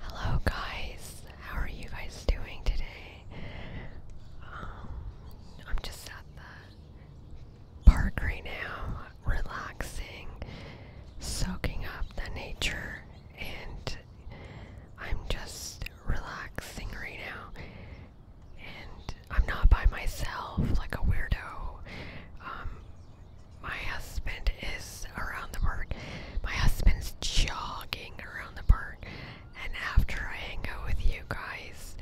Hello guys, how are you guys doing today? Um, I'm just at the park right now, relaxing, soaking up the nature, and I'm just relaxing right now and I'm not by myself like a weirdo. Um, my husband is around the park. My husband's jogging around the park, and after I hang out with you guys,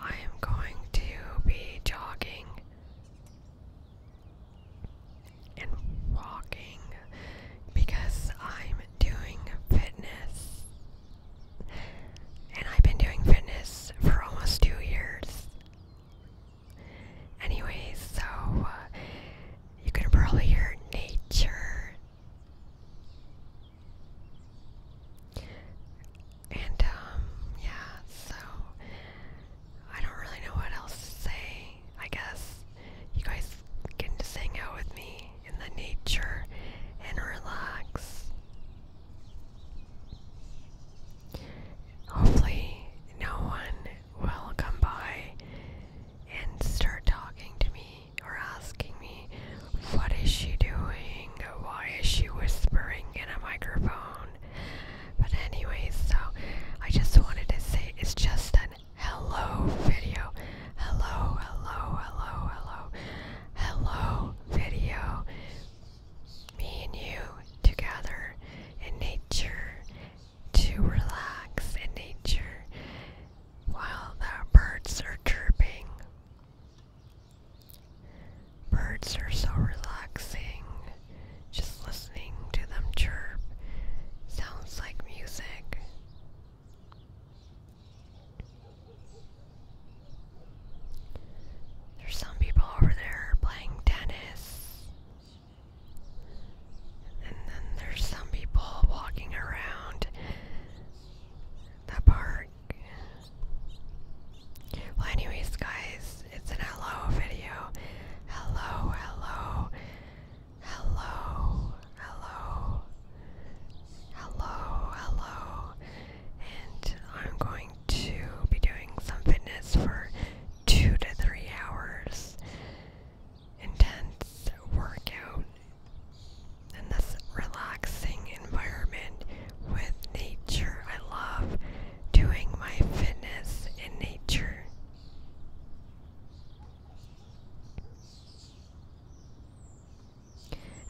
I am going to be jogging and walking because I'm doing fitness and I've been doing fitness for almost two years. Anyways, so uh, you can probably hear nature. And, um, yeah, so I don't really know what else to say. I guess you guys can just hang out with me in the nature and relax. Hopefully, no one will come by and start talking to me or asking me, What is she doing? Why is she whispering in a microphone? But, anyways, so I just wanted to say it's just an hello video. Hello, hello, hello, hello. Hello video. Me and you together in nature to relax in nature while the birds are chirping. Birds are so relaxing. Just listening to them chirp sounds like music. There's some people over there playing tennis. And then there's some people walking around the park. Well, anyways, guys, it's an hello video. Hello, hello. Hello, hello, hello, hello, and I'm going to be doing some fitness for two to three hours. Intense workout in this relaxing environment with nature. I love doing my fitness in nature.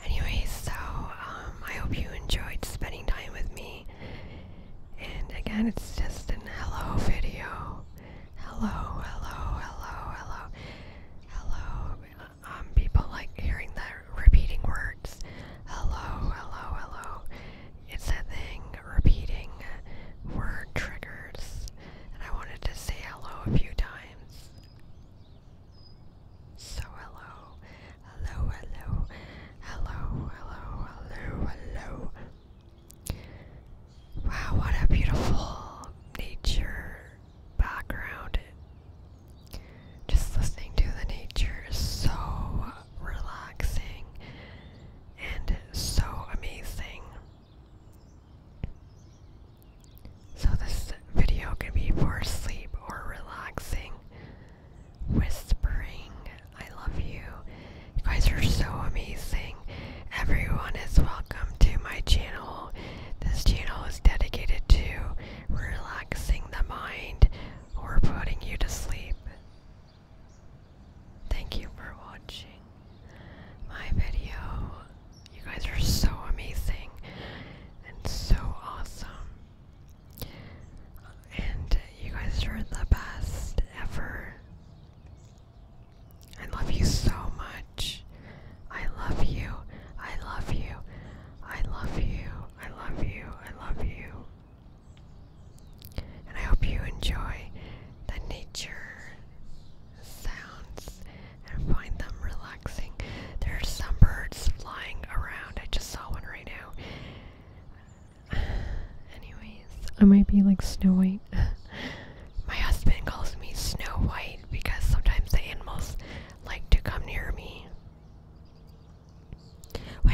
Anyways, so um, I hope you enjoyed spending time with me. And again, it's just an hello video. Hello, hello, hello, hello, hello. Um, people like hearing that repeating words. Hello, hello, hello. It's a thing repeating word triggers, and I wanted to say hello a few times. So hello, hello, hello, hello, hello, hello, Wow, what a beautiful nature background. Just listening to the nature so relaxing and so amazing. So, this video can be for sleep or relaxing. Whispering, I love you. You guys are so amazing. Everyone is welcome to my channel. This channel is dedicated to relaxing the mind or putting you to sleep. Thank you for watching my video. You guys are so amazing and so awesome. And you guys are the best ever. I love you so much. I love you. I love you. I love you. I love you. I love you. And I hope you enjoy the nature sounds and find them relaxing. There are some birds flying around. I just saw one right now. Anyways, I might be like Snow White. My husband calls me Snow White because sometimes the animals like to come near me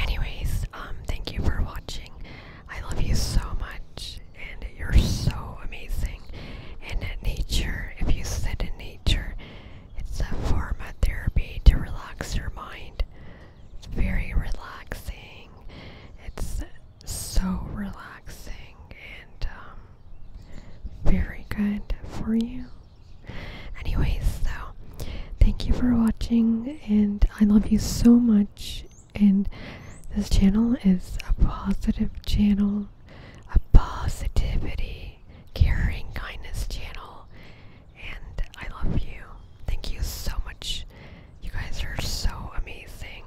anyways, um, thank you for watching. I love you so much, and you're so amazing. And nature, if you sit in nature, it's a form of therapy to relax your mind. It's very relaxing. It's so relaxing and um, very good for you. Anyways, so thank you for watching, and I love you so much. And this channel is a positive channel, a positivity, caring, kindness channel, and I love you. Thank you so much. You guys are so amazing.